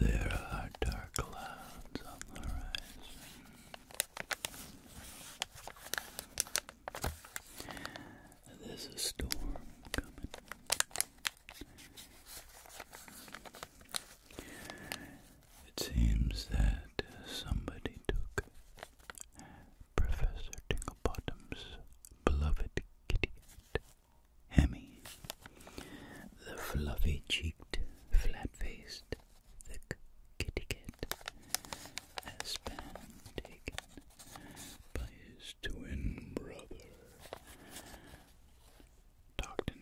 There are dark clouds on the horizon. There's a storm coming. It seems that somebody took Professor Tinglebottom's beloved kitty cat, Hemmy, the fluffy cheeked, flat faced, thick kitty cat, has been taken by his twin brother. Docked in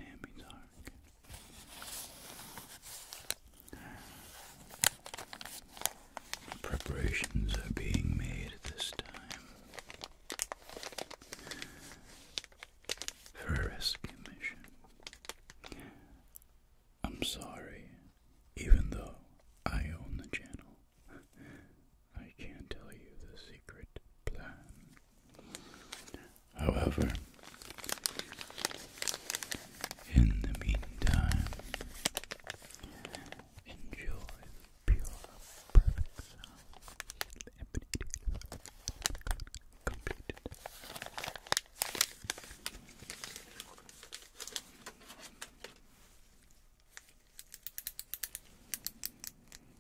Preparations are being made at this time for a rescue mission. I'm sorry, even though I own the channel, I can't tell you the secret plan. However, in the meantime, enjoy pure, perfect sound. Completed.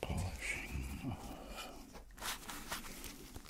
Polishing Polishing of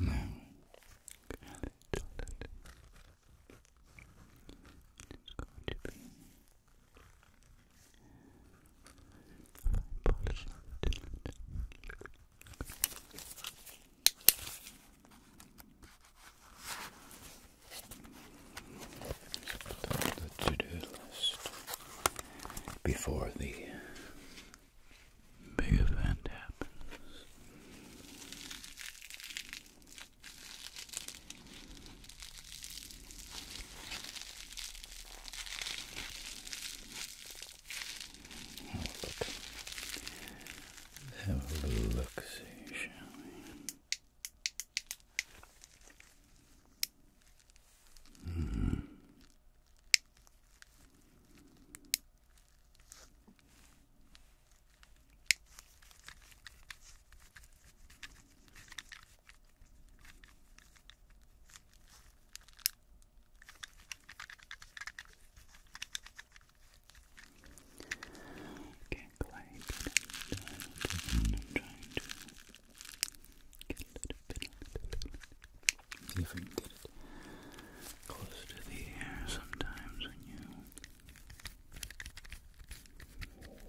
Now, it's going to be the to-do list before the big event happens. Have a look, have a look see, Mm. Can't quite I'm trying to Get a little bit, see if I can get it close to the air sometimes on you. Good.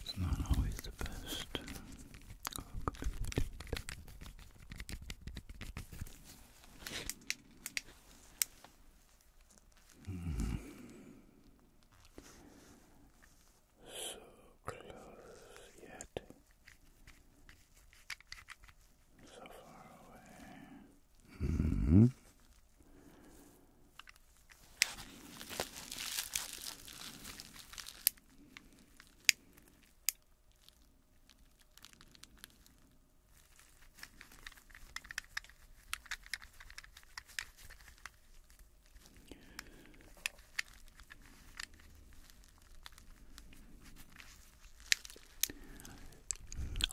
It's not always the best. So close yet so far away. -hmm. Automatic,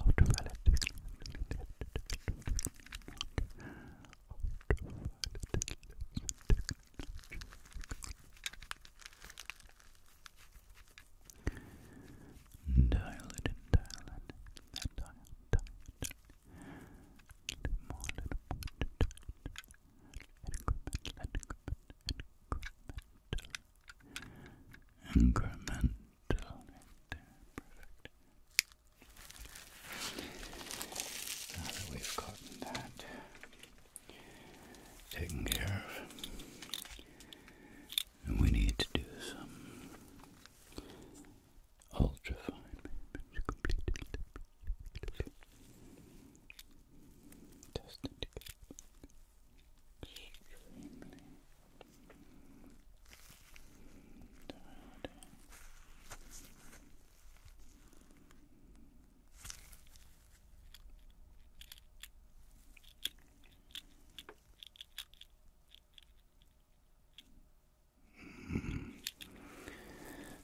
automatic, automatic, automatic, Dial it and dial it. And dial, dial, dial. Little more, little more, little more. Incremental, incremental, incremental. Right there, perfect. Now that we've gotten that taken care of, we need to do some ultrafine movement to extremely Tired.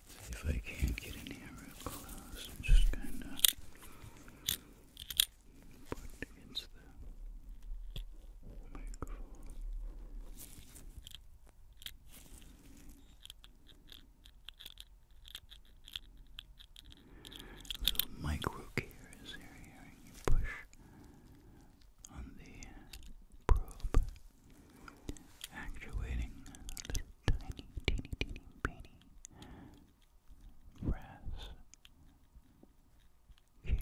See if I can't get in here real close just kind of put against the microphone. Little micro here, and you push on the probe, actuating little tiny, teeny, teeny, teeny brass gears.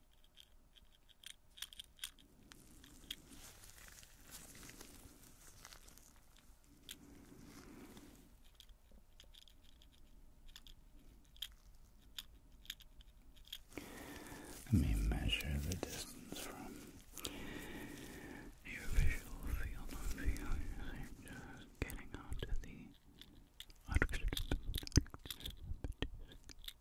Let me measure the distance from your visual field of view I'm just getting onto the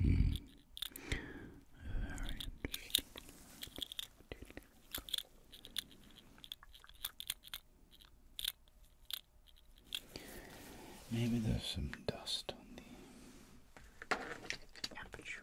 Hmm. Very interesting. Maybe there's some dust on the aperture.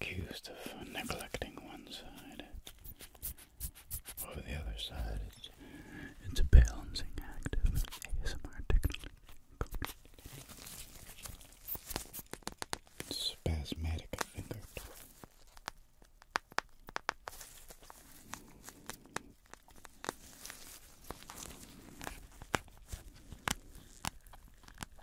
accused of neglecting one side over the other side. It's, a balancing act of ASMR technique. Spasmodic finger.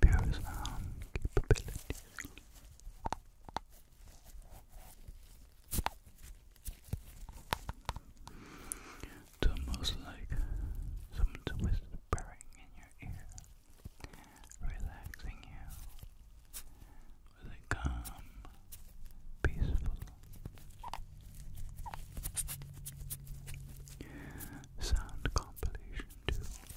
pure sound capabilities. almost like someone's whispering in your ear, relaxing you with a calm, peaceful sound compilation, too.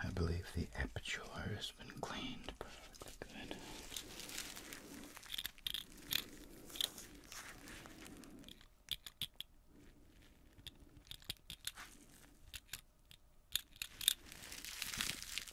I believe the aperture has been cleaned perfectly good.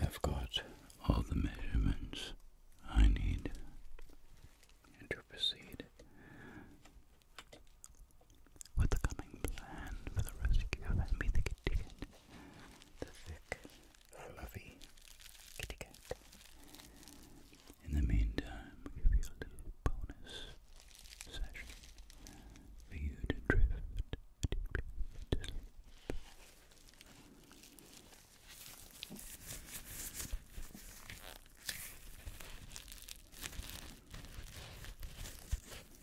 I've got all the measurements I need to proceed with the coming plan for the rescue of Ambitikidigan the thick, fluffy kitty cat. In the meantime, we give you a little bonus session for you to drift deeply to sleep. Good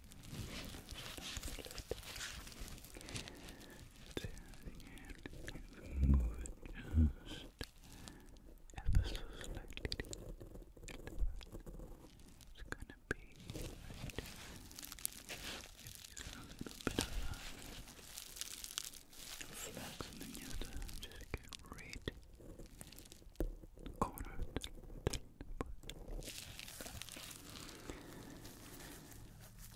to just ever so slightly. It's gonna be right. you a little bit of a flex, and then you have to just get right cornered. But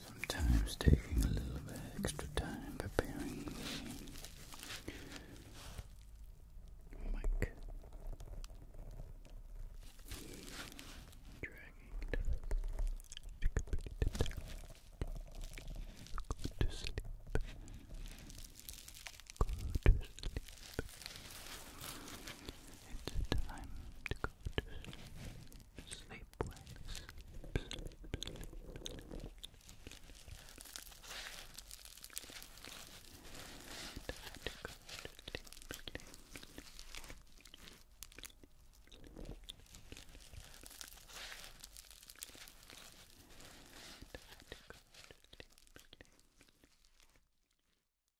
Sometimes taking a little bit extra time preparing the Dragging to sleep. It's time to go to sleep. Sleep